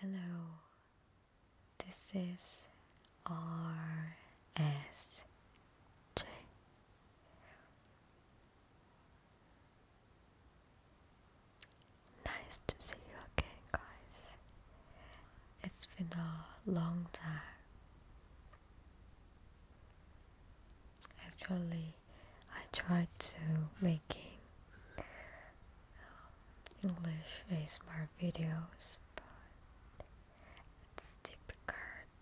Hello, this is RSJ. Nice to see you again, guys. It's been a long time. Actually, I tried to making uh, English ASMR videos, but it's difficult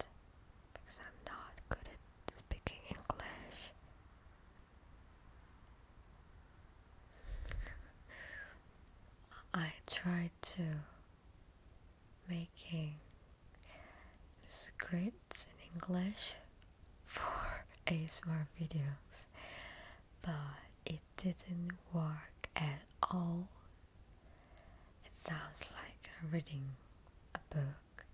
because I'm not good at speaking English. I tried to making script it's in English for ASMR videos, but it didn't work at all. It sounds like i reading a book.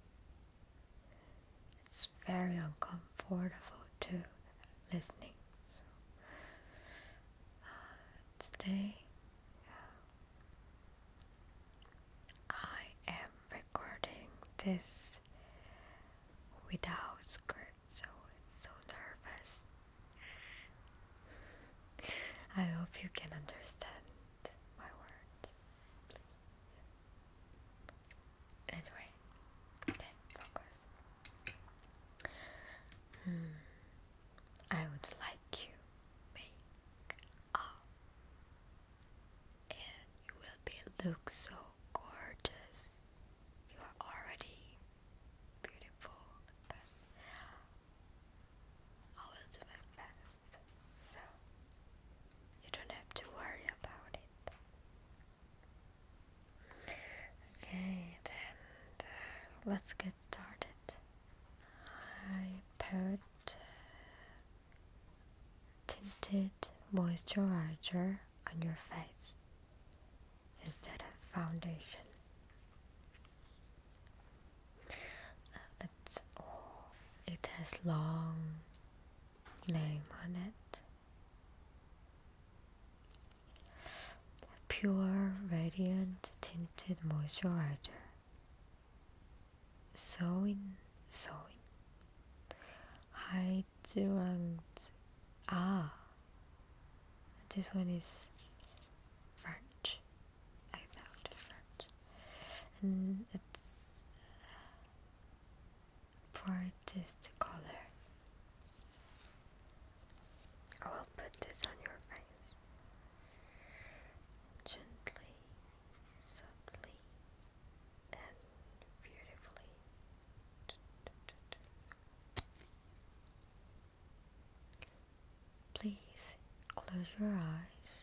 It's very uncomfortable to listening. So, uh, today uh, I am recording this without skirt, so so nervous. I hope you can understand my words. Please. Anyway, okay, focus. Hmm. I would like you make up, and you will be look so gorgeous. You are already beautiful, I will do my best, so you don't have to worry about it. Okay, then uh, let's get started. I put uh, tinted moisturizer on your face instead of foundation. Uh, it's, oh, it has long name on it. Pure Radiant Tinted Moisturizer. So in, so in. Haijuang. Ah, this one is French. I thought French, and it's brightest uh, color. I will put this on your face gently, softly, and beautifully. Please close your eyes.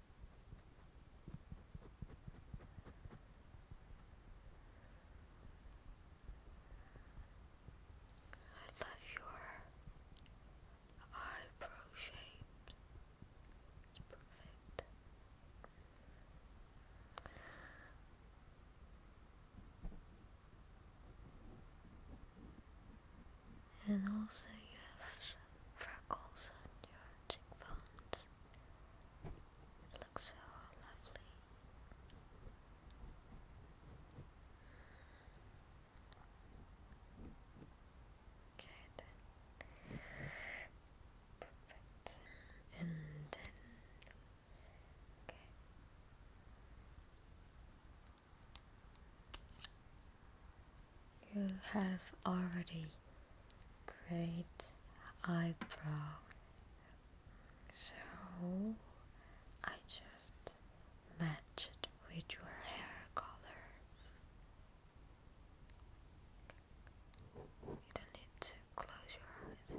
I love your eyebrow shape. It's perfect and also you have some freckles on your cheekbones. It looks so lovely. Okay then. Perfect. And then Okay. You have already great eyebrow. So I just matched it with your hair color. You don't need to close your eyes.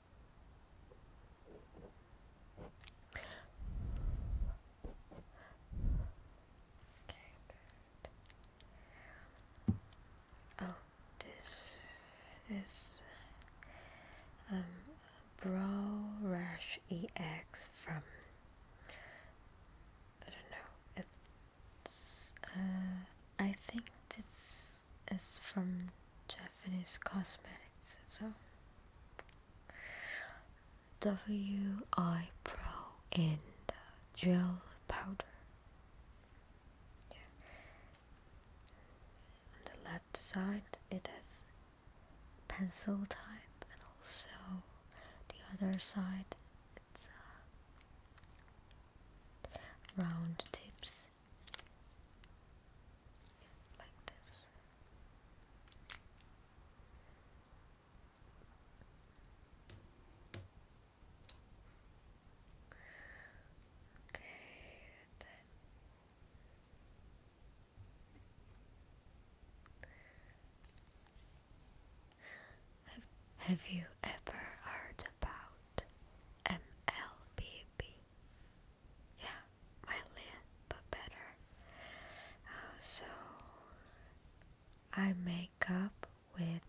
Okay, Oh, this is um, Brow Rash EX from I don't know. It's uh I think it's it's from Japanese cosmetics. So WI Pro and uh, gel powder. Yeah. On the left side, it has pencil type, and also the other side, it's uh, round tips. Have, have you ever heard about MLBB? yeah, my lid, but better. Uh, so I make up with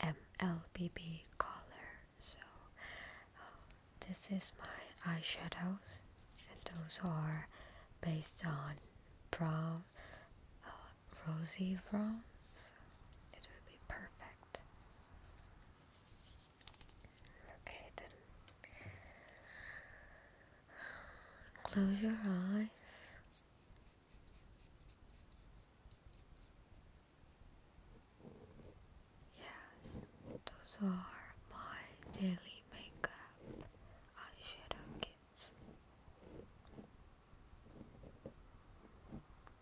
MLBB color. So uh, this is my eyeshadows, and those are based on brown, uh, rosy brown. it will be perfect. Okay, then close your eyes. Yes, those are my daily makeup eyeshadow kits.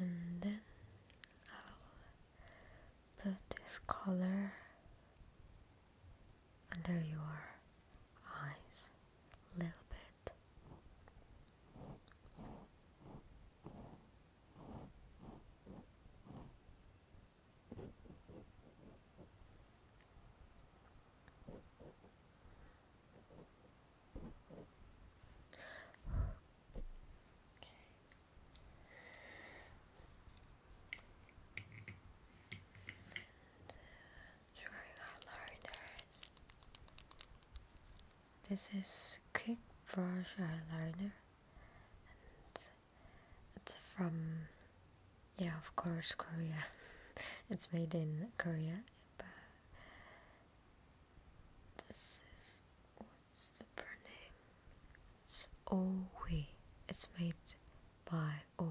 and then I'll put this color under your eyes a little bit Drawing our letters. This is Quick Brush Eyeliner and it's from, yeah of course Korea, it's made in Korea but this is, what's the brand name? It's Owe, it's made by Owe.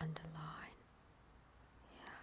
Underline, yeah.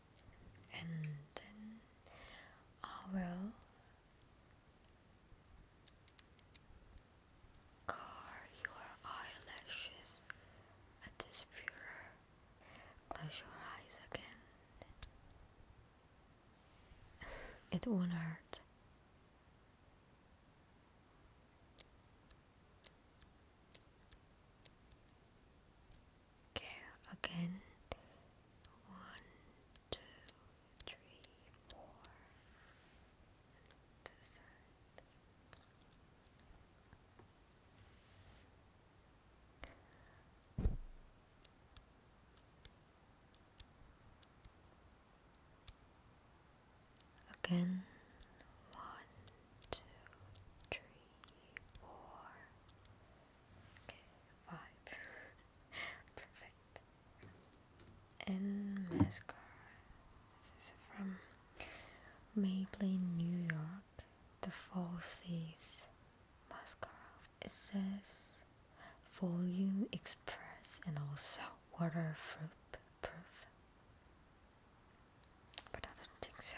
and then I will curl your eyelashes at this mirror. Close your eyes again. it won't hurt. Okay. again. One, two, three, four. Again, one, two, three, four, okay, five. Perfect. And mascara. This is from Maybelline New York. The Fall Seas mascara. It says volume express and also waterproof. Proof. But I don't think so.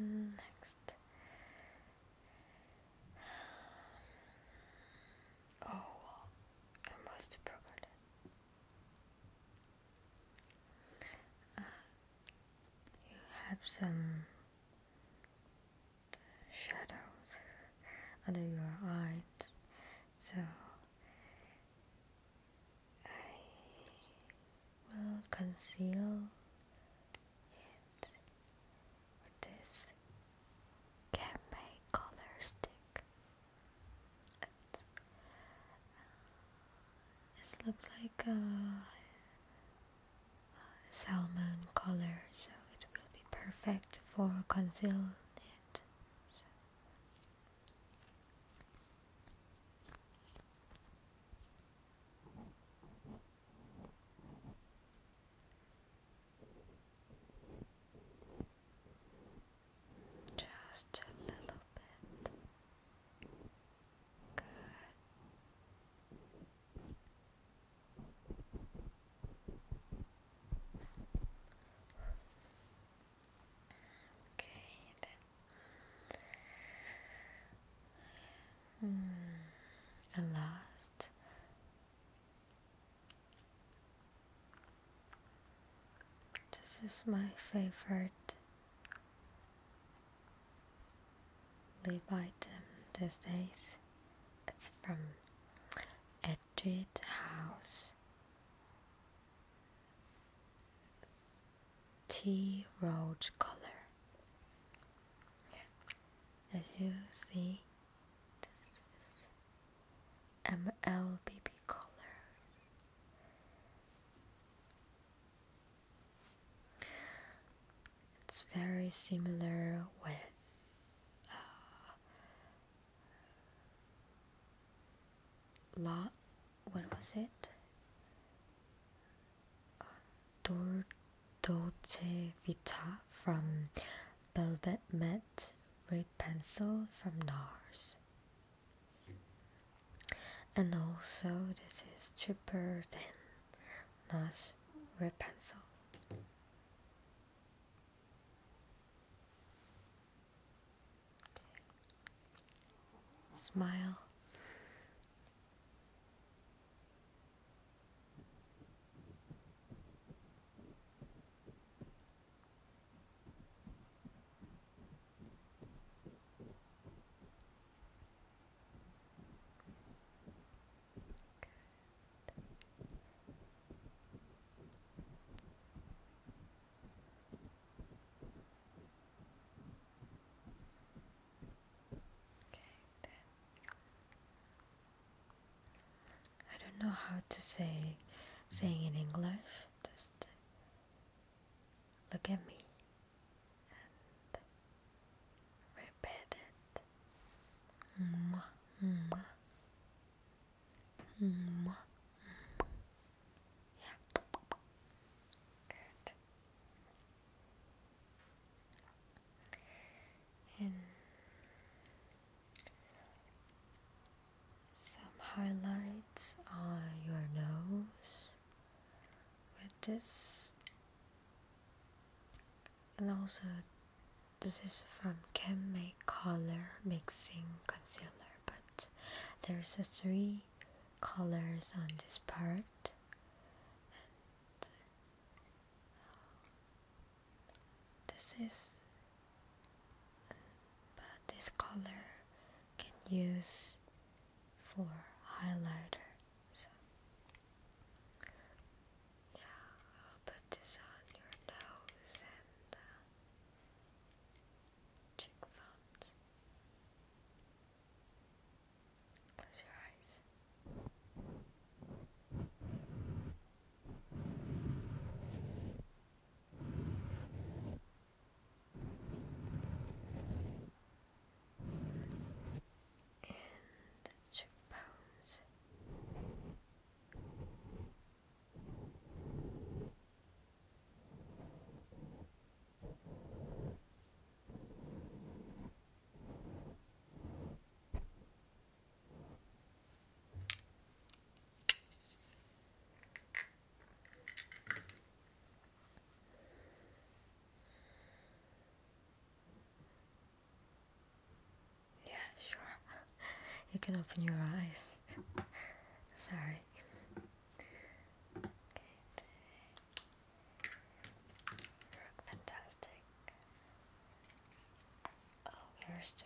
Next. Oh, almost forgot it. Uh, you have some shadows under your eyes so I will conceal it with this cafe color stick. And, uh, this looks like a, salmon color, so it will be perfect for concealing it. Just a little bit. Good. Okay, then. Mm, last. This is my favorite lip item these days. It's from Edrit House tea road color. As you see, this is MLBB color. It's very similar with uh, lot what was it? Dordote Vita from Velvet Met Ray Pencil from NARS. And also this is cheaper than NARS Ray Pencil. Smile. I don't know how to say saying in English. Just look at me and repeat it. Mwah, mwah. Mwah, some highlights on your nose with this, and also this is from CanMake Color Mixing Concealer, but there's a three colors on this part and this is but this color can use for highlighter yeah I'll put this on your nose and uh, cheek phones. Close your eyes. And cheekbones. Yeah, sure. you can open your eyes. Sorry. You're fantastic. Oh, here's the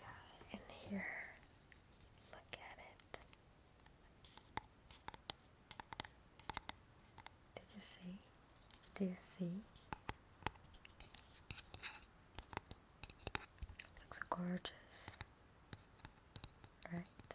Yeah, in here. Look at it. Did you see? Did you see? Looks gorgeous, right?